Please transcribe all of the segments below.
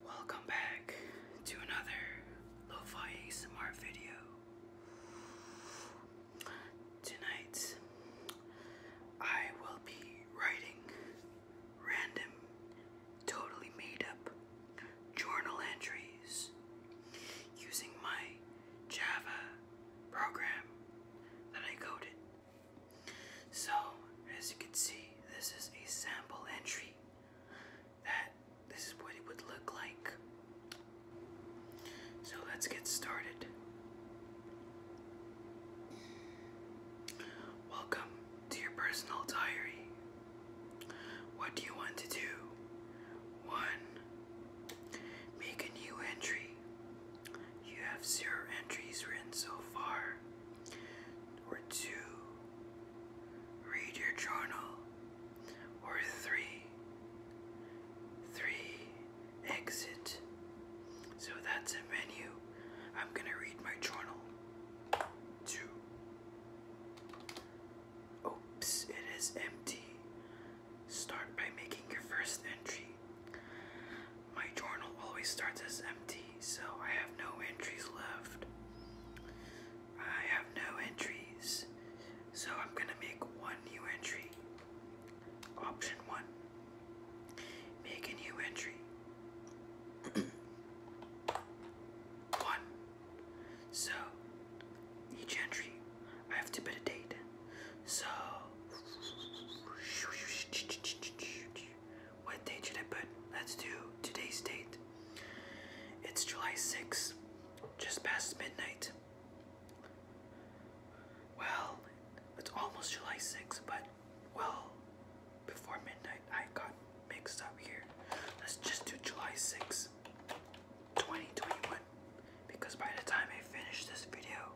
Welcome back to another Lo-Fi ASMR video. Tonight, I will be writing random, totally made up journal entries using my Java program that I coded. So, as you can see, this is a sample entry that this is what it would look like. So let's get started. Welcome to your personal diary. What do you want to do? 1. Make a new entry. You have zero entries written so far or two, read your journal, or three, three, exit. So that's a menu. I'm gonna read my journal. Two. Oops, it is empty. Start by making your first entry. My journal always starts as empty, so I have no entries left. I have no entries, so I'm gonna make one new entry. Option one Make a new entry. one. So each entry, I have to put a date. So what date should I put? Let's do today's date. It's July 6th, just past midnight. Well, it's almost July 6th, but well, before midnight, I got mixed up here. Let's just do July 6th, 2021, because by the time I finish this video,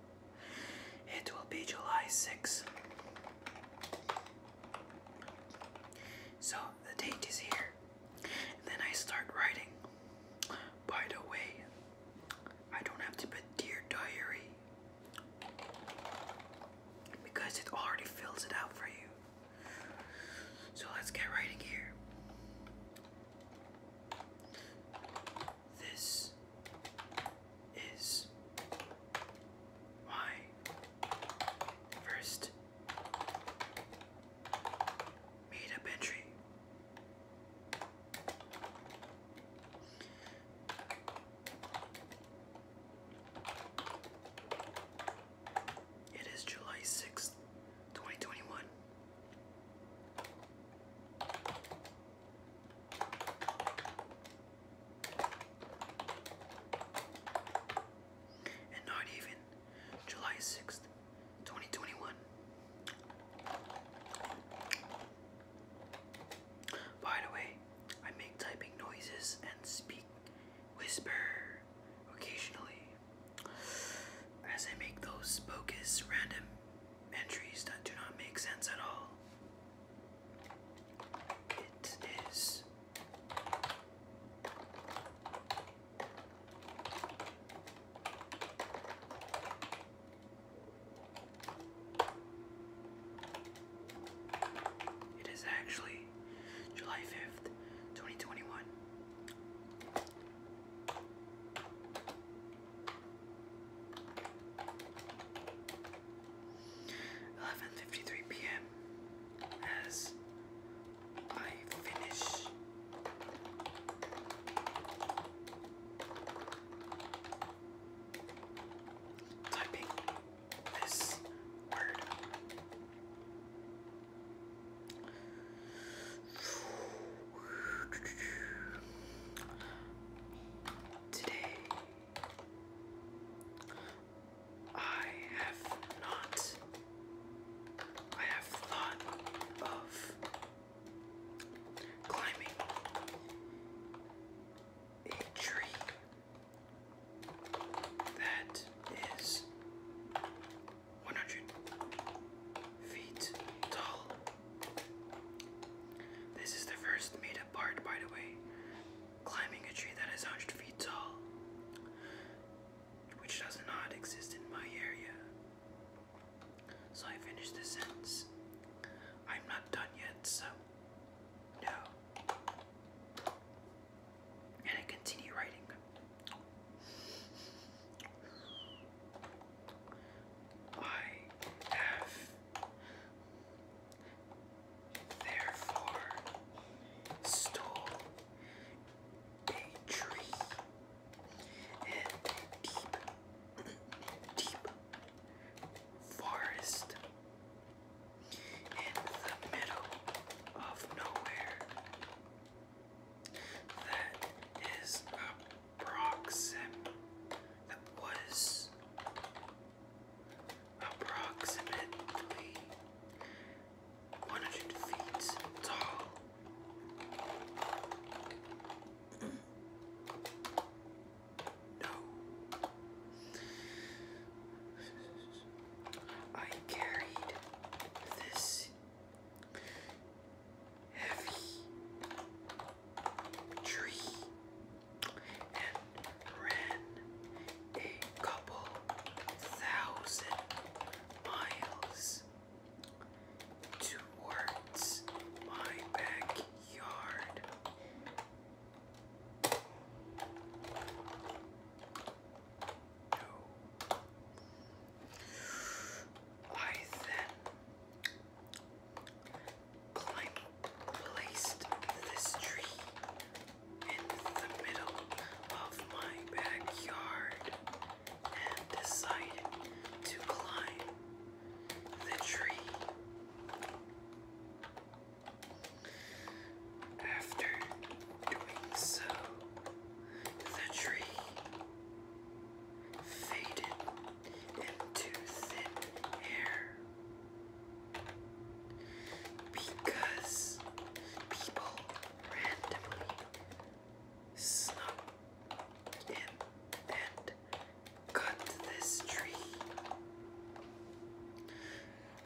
it will be July 6th. So the date is here. And then I start writing. By the way, I don't have to put dear diary because it already fills it out for you. So let's get writing here. This is my First, made up entry. It is July 6th, 2021. And not even July 6th, 2021. By the way, I make typing noises and speak whisper occasionally as I make those bogus random entries that do not make sense at all. It is it is actually July 5th, 2021. 11.53 p.m. as I finish typing this word. Today I have not. I have thought of climbing a tree that is 100 feet tall. This is the first meetup part, by the way climbing a tree that is 100 feet tall, which does not exist in my area. So I finished this sentence. I'm not done yet, so no. And I continue writing. I have therefore stole a tree and deep, deep forest in the middle of nowhere. That is approxim that was approximately 100 feet tall. No. I carried this heavy tree and ran a couple thousand miles towards my backyard. I then placed this tree in the middle of my backyard and decided to climb the tree. After doing so, the tree faded into thin air. Because people randomly snuck in and cut this tree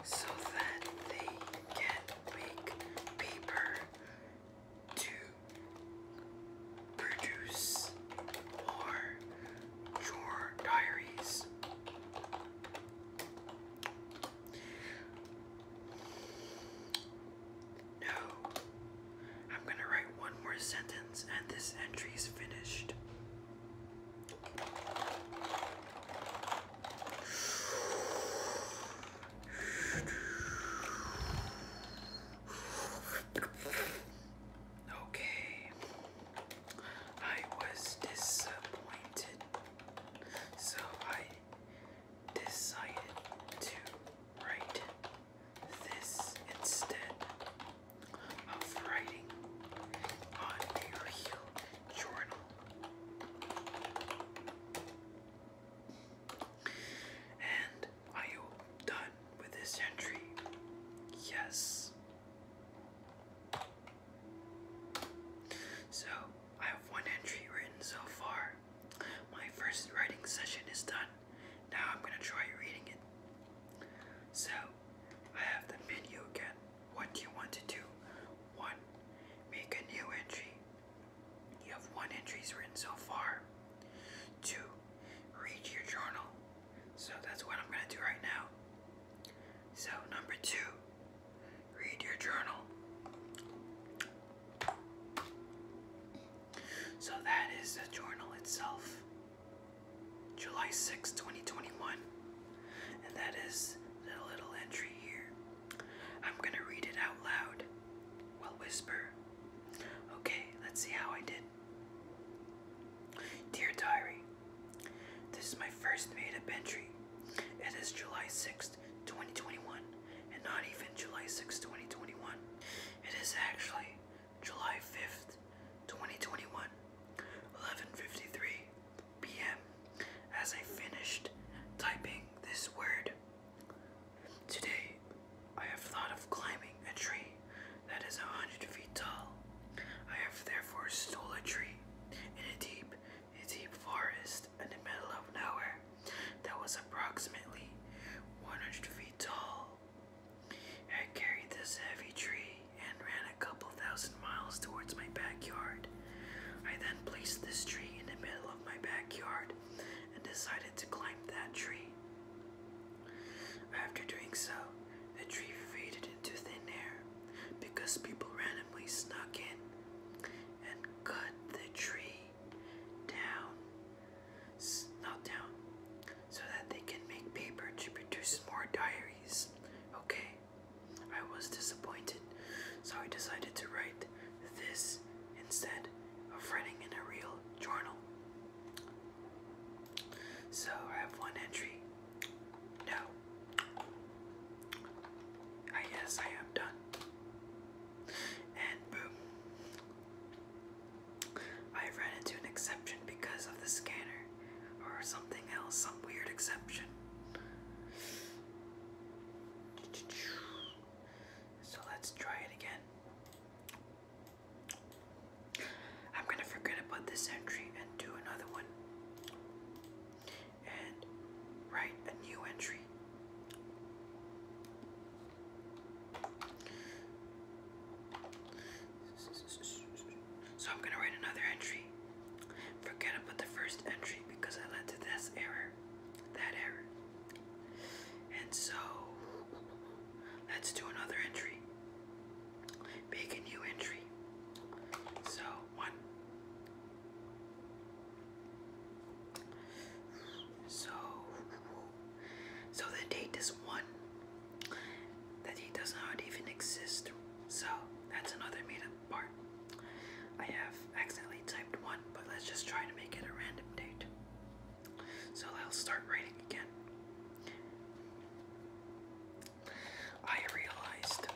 so that they can make paper to produce more your diaries. No. I'm going to write one more sentence and this entry is finished. Okay. I was disappointed so I decided to write this instead of writing on a real journal. And I am done with this entry. Yes. So, I have one entry written so far. My first writing session is done. Now I'm gonna try reading it. So, I have the menu again. What do you want to do? 1. Make a new entry. You have one entry written so far. 2. Read your journal. So that's what I'm gonna do right now. So, number 2. Read your journal. So that is the journal itself. July 6, 2021. And that is the little entry here. I'm going to read it out loud. Well, whisper. Okay, let's see how I did. Dear Diary, this is my first made-up entry. It is July 6th, 2021, and not even July 6th, 2021. It is actually July 5th, 2021, 11.53 p.m. as I finished typing this word. Today, I have thought of climbing a tree that is 100 feet tall. I have therefore stole a tree in a deep a deep forest in the middle of nowhere that was approximately 100 feet tall. I carried this heavy tree and ran a couple thousand miles towards my backyard. I then placed this tree in the middle of my backyard and decided to climb that tree. After doing so, the tree faded into thin air because people randomly snuck in and cut the tree down, not down, so that they can make paper to produce more diaries. Okay, I was disappointed, so I decided to write this instead of writing in a real journal. So I have one entry no. I guess I am done. And boom. I ran into an exception because of the scanner or something else, some weird exception. So let's try it again. I'm gonna forget about this entry and do another one and write a new entry. So I'm gonna write another entry. Forget about the first entry because I led to this error, that error. And so let's do another entry. Make a new entry. So one, so, so the date is one that he does not even exist. So that's another made-up part. I have accidentally typed one, but let's just try to make it a random date. So I'll start writing again. I realized that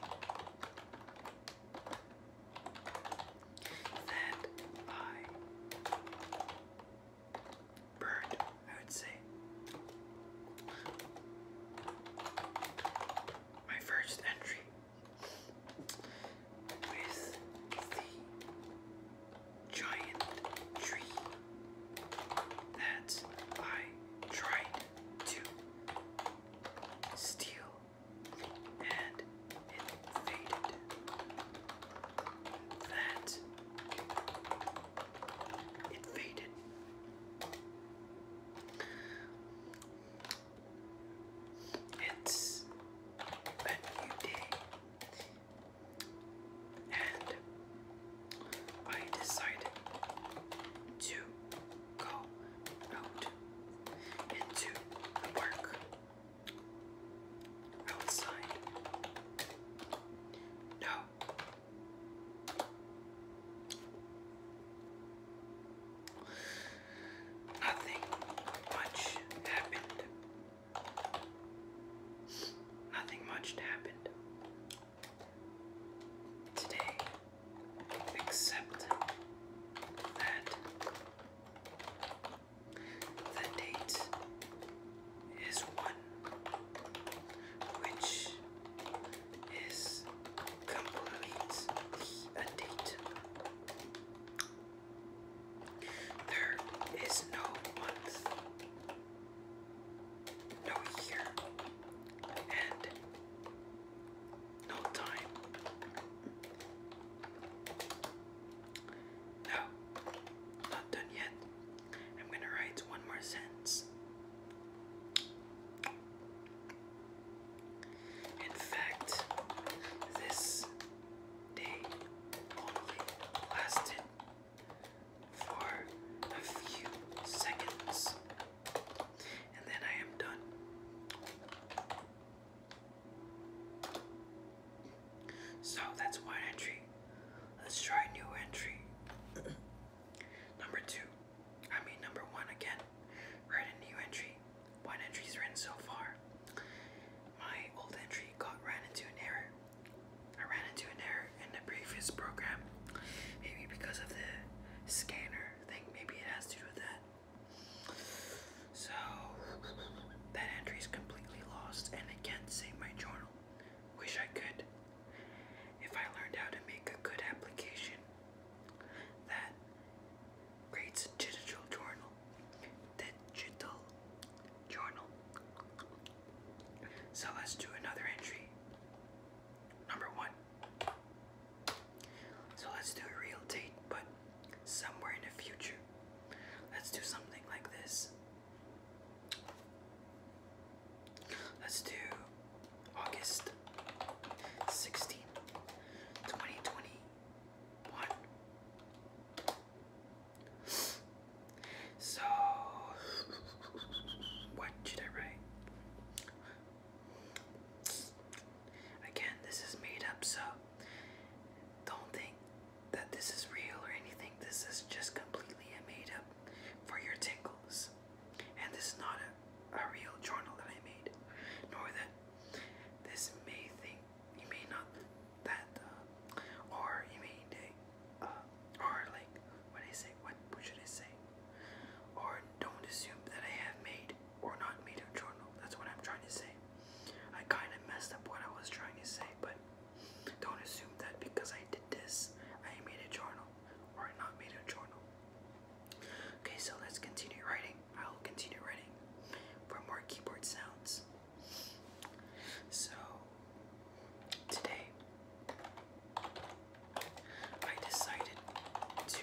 I burned, I would say, my first entry with the giant tree that I tried to steel, and it faded. That it faded. It's a new day, and I decided to go out into the park outside. No. Nothing much happened. Nothing much happened today, except that the date is one which is completely a date. There is no month, no year, and no time. No, not done yet. I'm gonna write one more sentence. In fact, this day only lasted for a few seconds and then I am done. So that's one entry. Let's try a new entry. number two. I mean number one again. Write a new entry. One entry's written so far. My old entry got ran into an error. I ran into an error in the previous program. Maybe because of the scanner thing. Maybe it has to do with that. So that entry is completely lost, and I can't save my journal. Wish I could. If I learned how to make a good application that creates digital journal, digital journal. So let's do another entry. Number one. So let's do a real date, but somewhere in the future. Let's do something like this. Let's do August 16, 2021. So, what should I write? Again, this is made up, so don't think that this is real or anything. This is just completely made up for your tingles. And this is not a, a real journal that I made, nor that this may think you may not that, uh, or you may, uh, or like, what I say, what, what should say? Or don't assume that I have made or not made a journal. That's what I'm trying to say. I kind of messed up what I was trying to say, but don't assume that because I did this, I made a journal or not made a journal. Okay, so let's continue writing. I'll continue writing for more keyboard sounds. So, today I decided to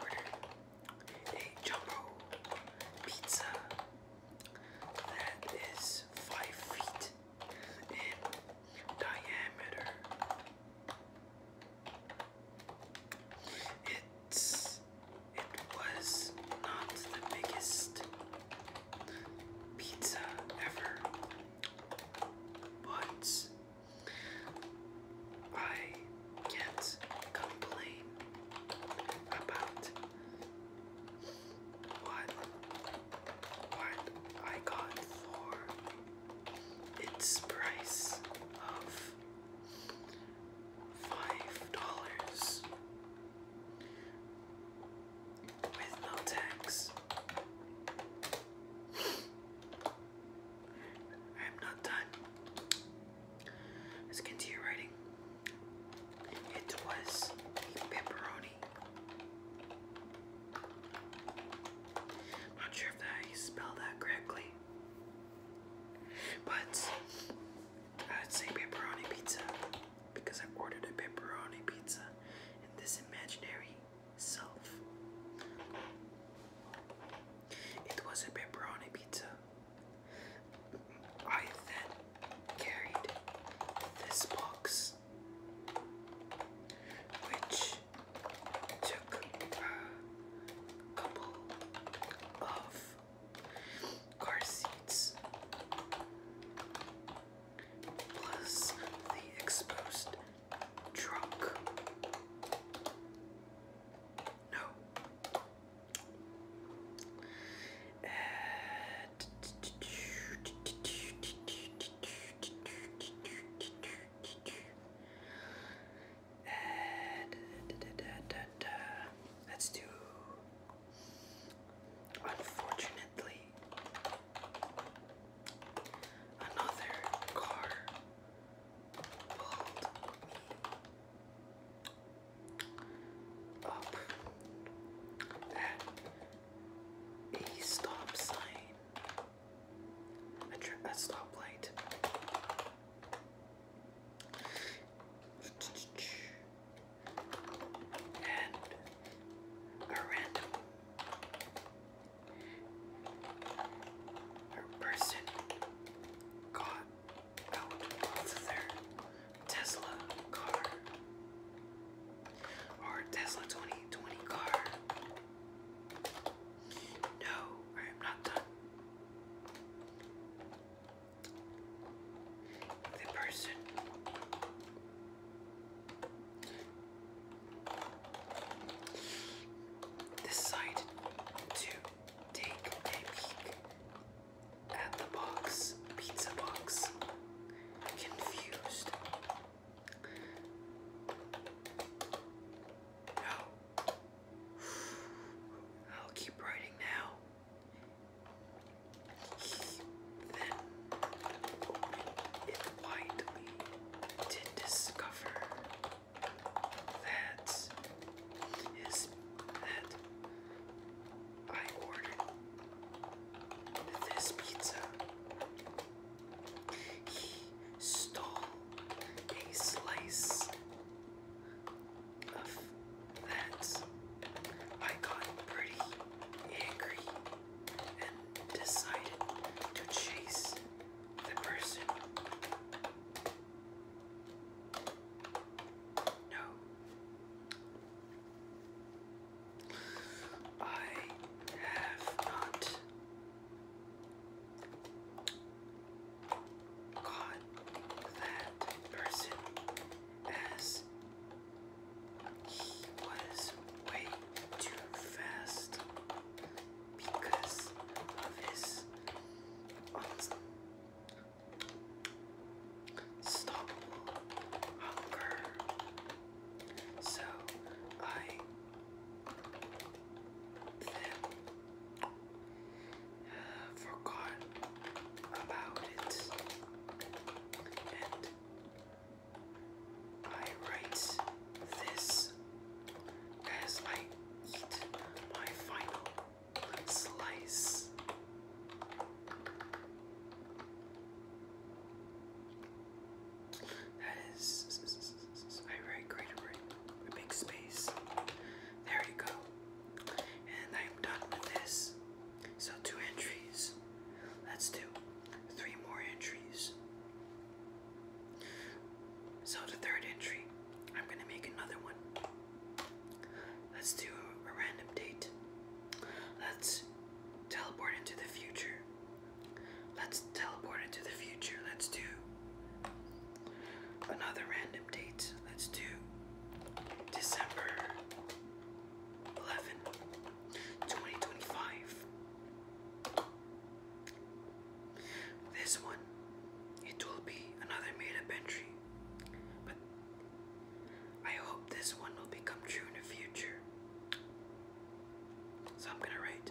order a jumbo pizza that is five feet in diameter. It's it was not the biggest pizza ever, but I can't about what what I got for its price of five dollars with no tax I'm not done. Let's continue writing. It was a pepperoni. not sure if I spelled that correctly, but I'd say pepperoni pizza because I ordered a pepperoni pizza in this imaginary myself. It was a pepperoni pizza. I then carried this box, which took a couple of car seats plus the exposed Drunk. No. Let's do unfortunate Another car pulled me up at a stop sign, a, a stoplight. And a random her person got out of their Tesla car or Tesla 2020 car. No, I am not done. The person Decided to take a peek at the box, pizza box, confused. I'll keep writing now. Then it widely did discover that is that I ordered this pizza. He stole a slice of that. I got pretty angry and decided to chase the person. No. I have not caught that person as he was way too fast because of his unstoppable hunger. So I uh, forgot about it I write this as I eat my final slice. That is, I write great, a big space. There you go. And I'm done with this. So, two entries. Let's do three more entries. So the third entry, I'm gonna make another one. Let's do a random date. Let's teleport into the future. Let's teleport into the future. Let's do another random date. Let's do December 11 this one it will be another made-up entry but I hope this one will become true in the future so I'm gonna write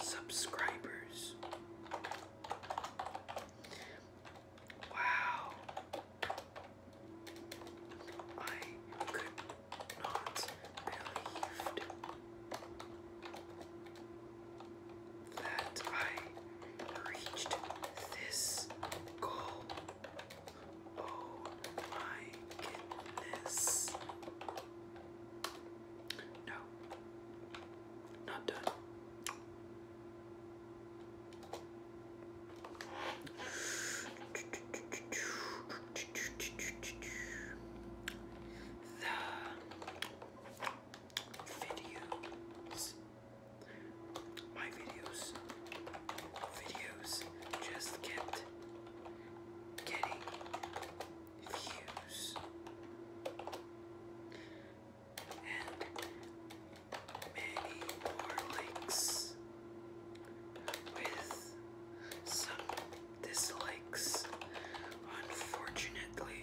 subscribers. Wow. I could not believe that I reached this goal. Oh my goodness. No. Not done. The videos. My videos. Videos just kept getting views. And many more likes with some dislikes, unfortunately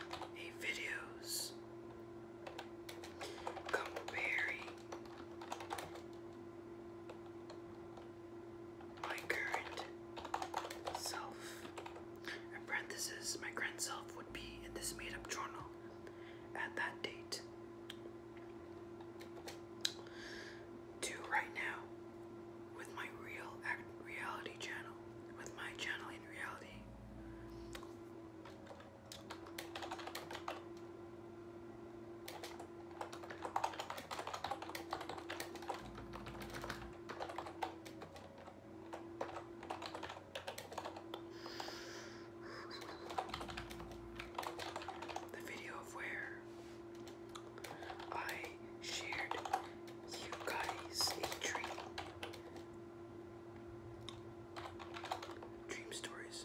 a videos comparing my current self. my current self would be in this made-up journal at that date. To right now, with my real reality channel, with my channel in reality, the video of where I shared you guys a tree Dream stories.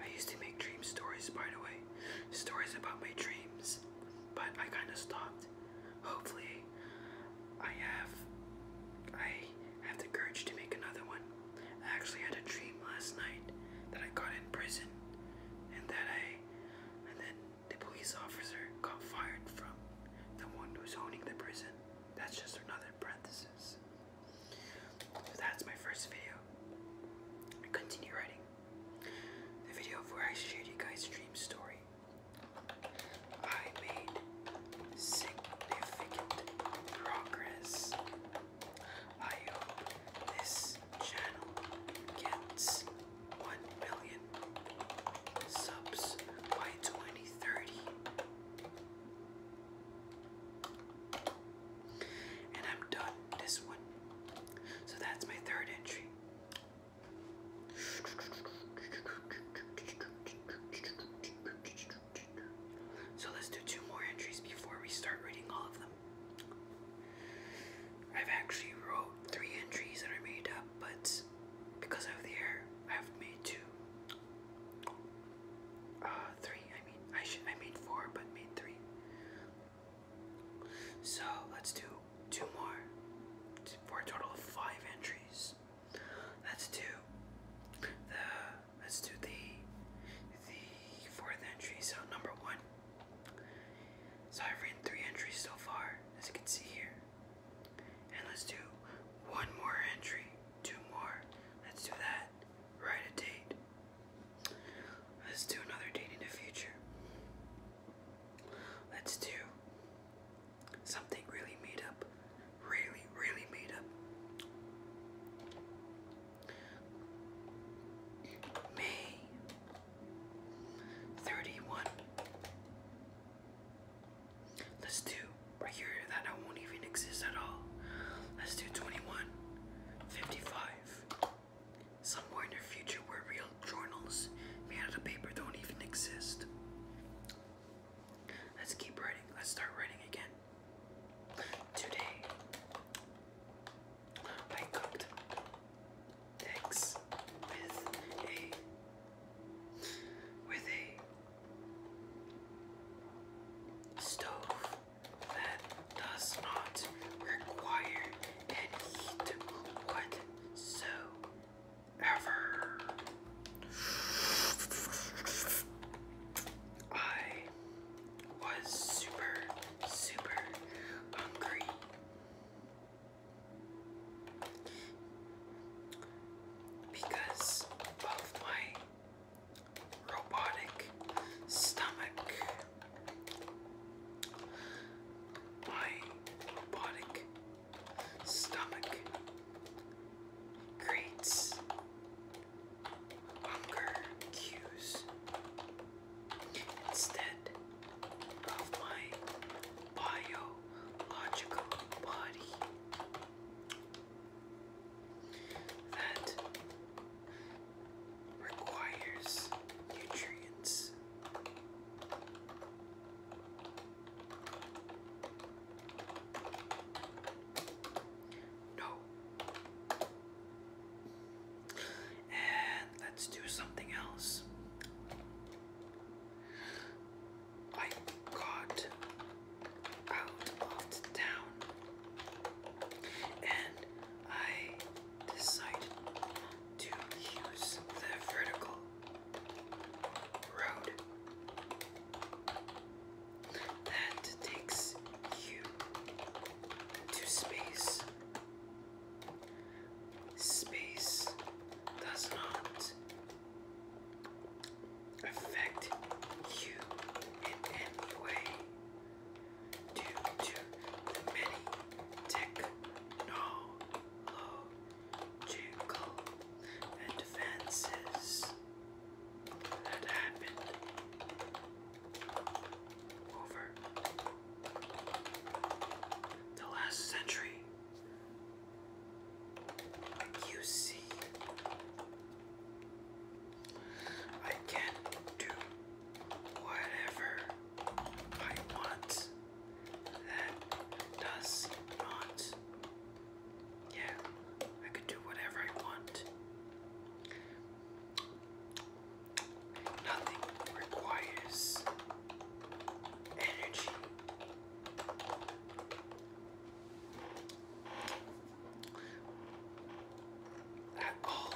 I used to make dream stories, by the way. Stories about my dreams. But I kind of stopped. Hopefully, I have. I have the courage to make another one. I actually had a dream last night that I got in prison, and that I, and then the police officer got fired from the one who's owning the prison. That's just another parenthesis. So that's my first video. I continue writing. The video where I shared you guys' dream story. I made significant progress. I hope this channel gets 1 million subs by 2030. And I'm done this one. So that's my third entry. So let's do two more entries before we start reading all of them. I've actually wrote three entries that are made up, but because of the hair, I've made two. Uh, three. I mean, I should. I made four, but made three. So let's do two more for a total of five entries. Let's do the. Let's do the the fourth entry. So number one. So I've written three entries so far, as you can see here. And let's do one more entry, two more. Let's do that. Write a date. Let's do another date in the future. Let's do something really made up. Really, really made up. May 31. Let's do right here that I won't even exist at all. Let's do 21, 55. Somewhere in the future where real journals made out of paper don't even exist. Let's keep writing. Let's start writing again. Today, I cooked eggs with with a stove that does not require any heat whatsoever. I was super, super hungry because of my robotic stomach. My robotic stomach creates hunger cues instead of my biological body that requires nutrients. No. And let's do something else. I got out of town and I decided to use the vertical road that takes you to space. Space does not affect you in any way due to many technological advances that happened over the last century you see, I can do whatever I want that does not. Yeah, I could do whatever I want. Nothing requires energy that ball.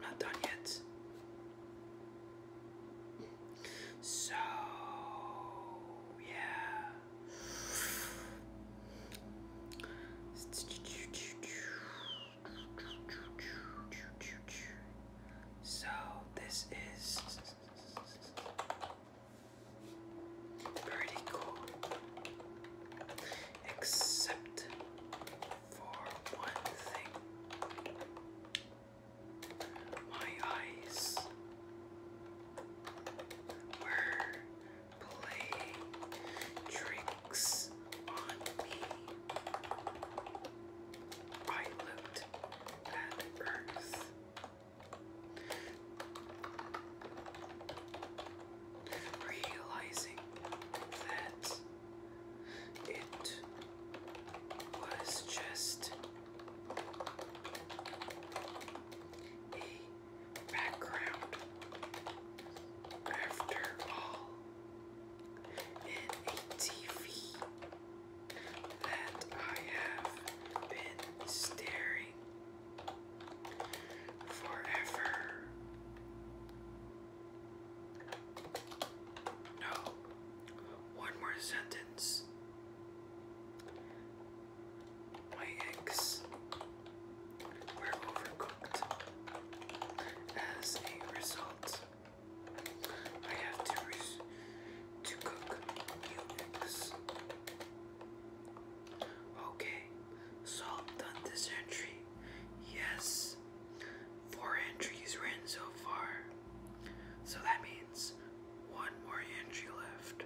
not done yet. So, yeah. So this is pretty cool, except for one thing. My eyes were playing tricks on me. I looked at Ernest. Realizing that it was just a background. After all, in a TV that I have been staring forever. No, one more sentence. My eggs were overcooked as a result I have to to cook units. Okay, salt so this entry. Yes, four entries written so far. So that means one more entry left.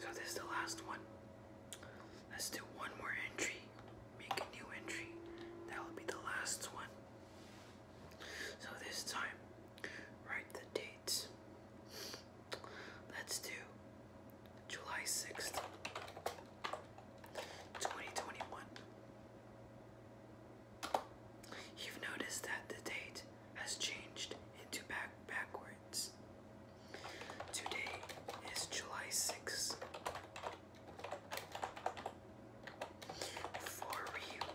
So this is the last one. Let's do one more entry make a new entry. That will be the last one. So this time, write the dates. Let's do July 6th, 2021. You've noticed that the date has changed into back backwards. Today is July 6th, for real,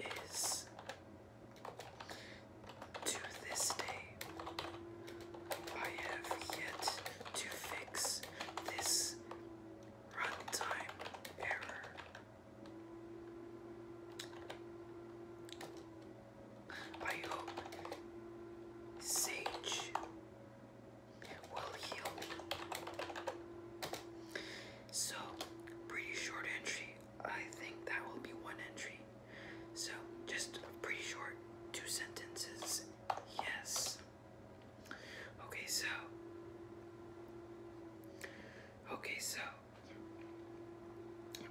it is to this day. I have yet to fix this runtime error. I hope Sage will heal. So, pretty short entry. I think that will be one entry. So, just pretty short, two sentences. Yes. Okay, so. Okay, so.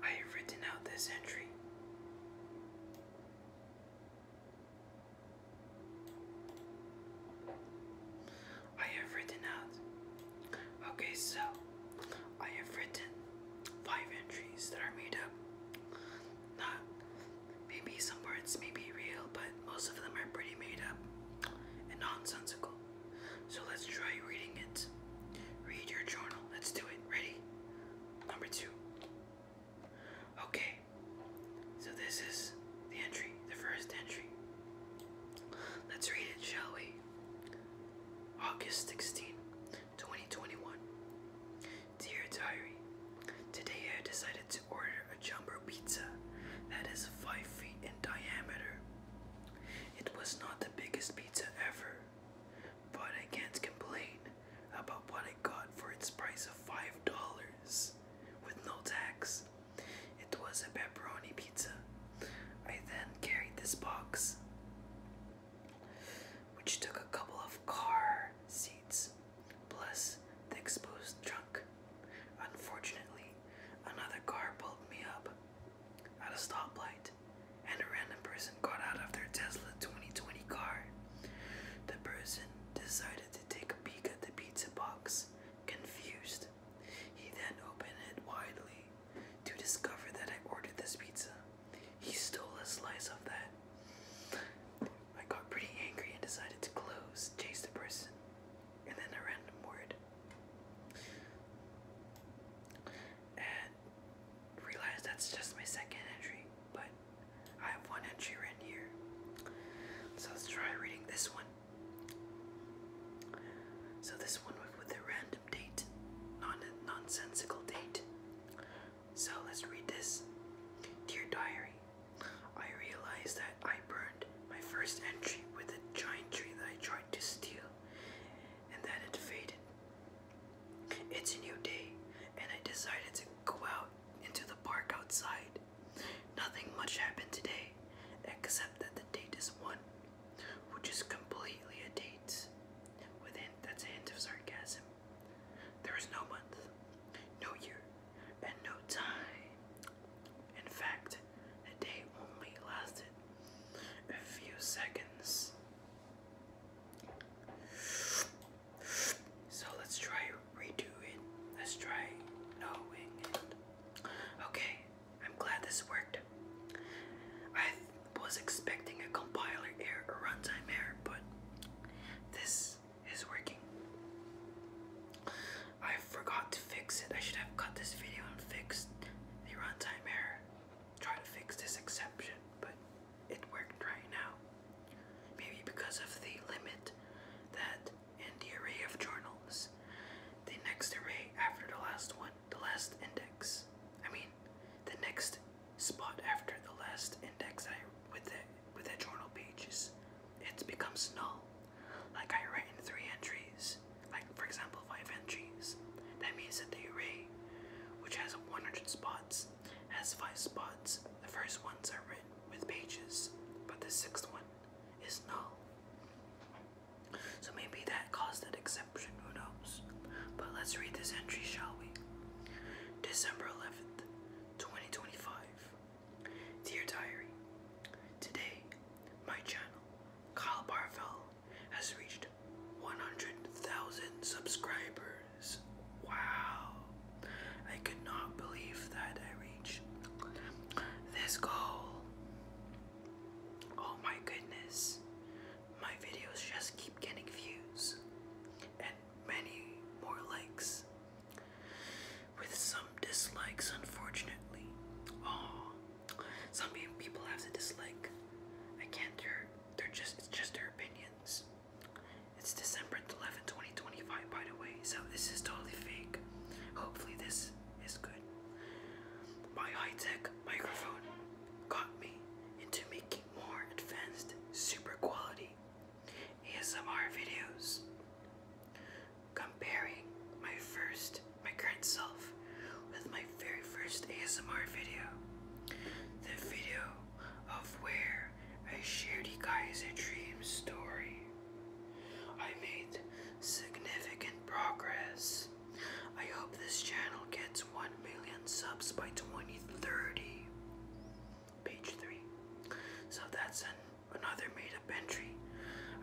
I have written out this entry. I have written out. Okay, so I have written five entries that are made up. Not maybe some words may be real, but most of them are pretty made up and nonsensical. So let's try reading it. Read your journal. Let's do it. Ready? Number two. Okay, so this is the entry, the first entry. Let's read it, shall we? August 16, 2021. Dear Diary, today I decided to order a jumbo pizza that is 5 feet in diameter. It was not the biggest pizza ever, but I can't complain about what I got for its price of five dollars with no tax. It was a pepperoni pizza. I then carried this box, which took a couple of car seats, plus the exposed trunk. Unfortunately, another car pulled me up at a stoplight, and a random person got out of their Tesla 2020 car. The person decided to take a peek at the pizza box, confused. He then opened it widely to discover that I ordered this pizza. He stole a slice of that. I got pretty angry and decided to close, chase the person, and then a random word. And realized that's just my second entry, but I have one entry right here. So let's try reading this one. So this one with a random date, non nonsensical date. So let's read this. Dear diary, I realized that I burned my first entry with a giant tree that I tried to steal, and that it faded. It's a new day, and I decided to go out into the park outside. Nothing much happened today, except that the date is one, which is completely a date. With hint, that's a hint of sarcasm. There is no month, no year, and no time. In fact, the day only lasted a few seconds. So let's try redoing. Let's try knowing it. Okay, I'm glad this worked. I was expecting a compiler error a runtime error, but this is working. I forgot to fix it. I should have cut this video and fixed the runtime error. Try to fix this exception, but it worked right now. Maybe because of the limit that in the array of journals. The next array after the last one, the last index. I mean, the next spot after the last index I with the with the journal pages, it becomes null. Like I write in three entries, like for example five entries. That means that the array, which has 100 spots, has five spots. The first ones are written with pages, but the sixth one is null. So maybe that caused an exception, who knows? But let's read this entry, shall we? December 11th, 2025. Dear Diary, today my channel, Kyle Barvell, has reached 100,000 subscribers. Wow. I could not believe that I reached this goal. Oh my goodness. My videos just keep getting views and many more likes. With some dislikes, unfortunately. Oh, some people have to dislike. I can't. They're, they're just. It's just their opinions. It's December 11, 2025, by the way, so this is totally fake. Hopefully, this is good. My high tech microphone got me into making more advanced, super quality ASMR videos. Comparing my first, my current self with my very first ASMR video. The video of where I shared Ikai's dream story. I made significant progress. I hope this channel gets 1 million subs by 2030. Page 3. So that's another made up entry.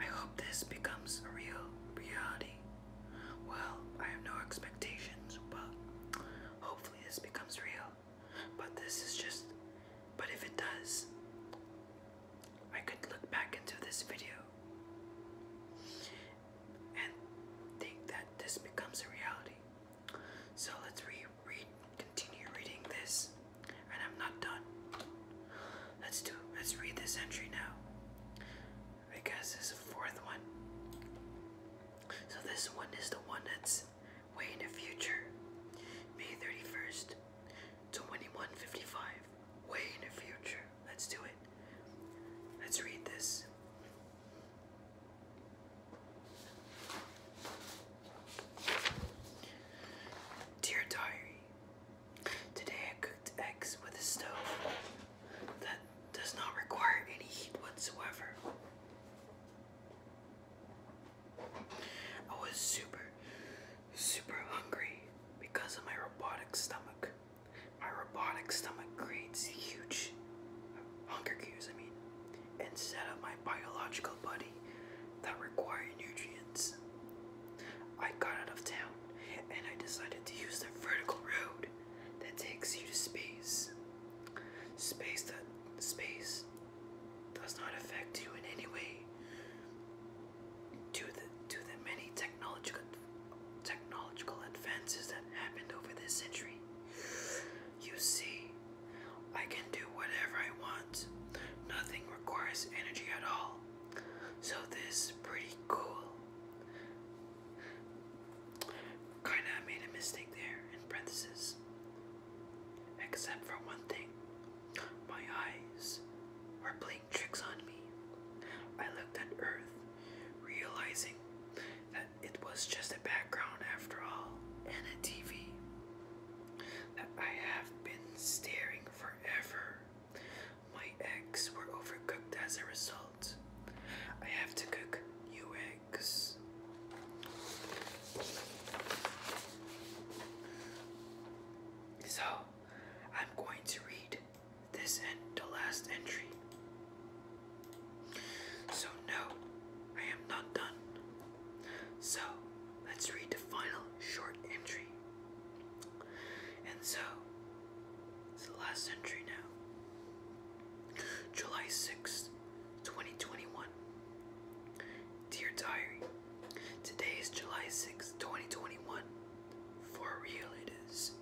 I hope this becomes a real reality. Well, I have no expectations, but hopefully this becomes real. But this is just. But if it does, I could look back into this video and think that this becomes a reality. So let's re read, continue reading this, and I'm not done. Let's do. Let's read this entry now. because guess this is the fourth one. So this one is the one that's way in the future. May 31st, 2155, way in the future. Let's do it. Let's read this. Dear Diary, today I cooked eggs with a stove that does not require any heat whatsoever. I was super, super hungry because of my robotic stomach. My robotic stomach creates huge hunger cues, I mean, instead of my biological body that require nutrients. I got out of town and I decided to use the vertical road that takes you to space. Space that space does not affect you in any way to the, to the many technological technological advances that happened over this century. You see, I can do whatever I want. Nothing requires energy at all. So this is pretty cool. Kinda made a mistake there in parentheses. Except for one thing. My eyes were playing tricks on me. I looked at Earth, realizing that it was just a background after all, and a TV. That I have been staring forever. My eggs were overcooked as a result. I have to cook new eggs legs. So, I'm going to read this and the last entry. So, no, I am not done. So, let's read the final short entry. And so, it's the last entry now. July 6th, 2021. Dear Diary, today is July 6, 2021. For real it is.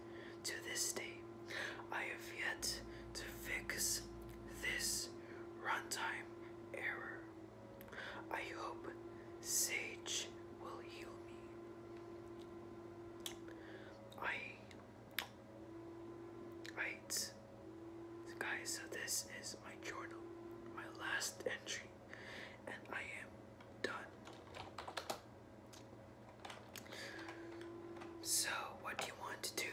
To this day, I have yet to fix this runtime error. I hope Sage will heal me. I. I. So guys, so this is my journal, my last entry, and I am done. So, what do you want to do?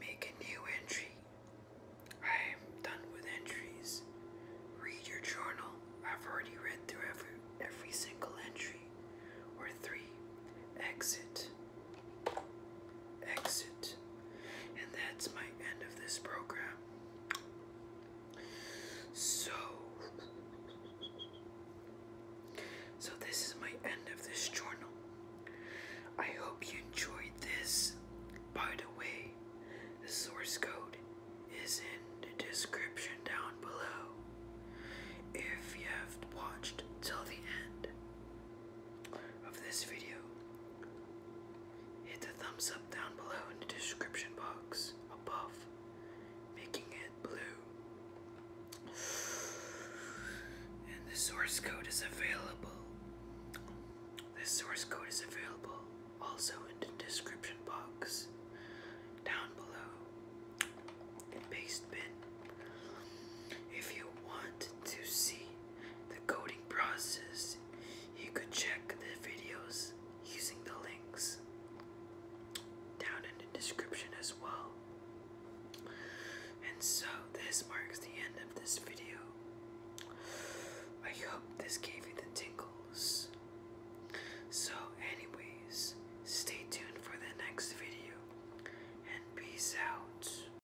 Make a new entry. I am done with entries. Read your journal. I've already read through every every single entry. Or three. Exit. Exit. And that's my end of this program. So, so this is my end of this journal. I hope you enjoyed this. By the way, the source code is in the description down below. If you have watched till the end, of this video. Hit the thumbs up down below in the description box above, making it blue. And the source code is available. The source code is available also in the description box down below. Paste bin. If you want to see the coding process, you could check the videos using the links down in the description as well. And so this marks the end of this video. I hope this gave you the tingles. So anyways, stay tuned for the next video and peace out.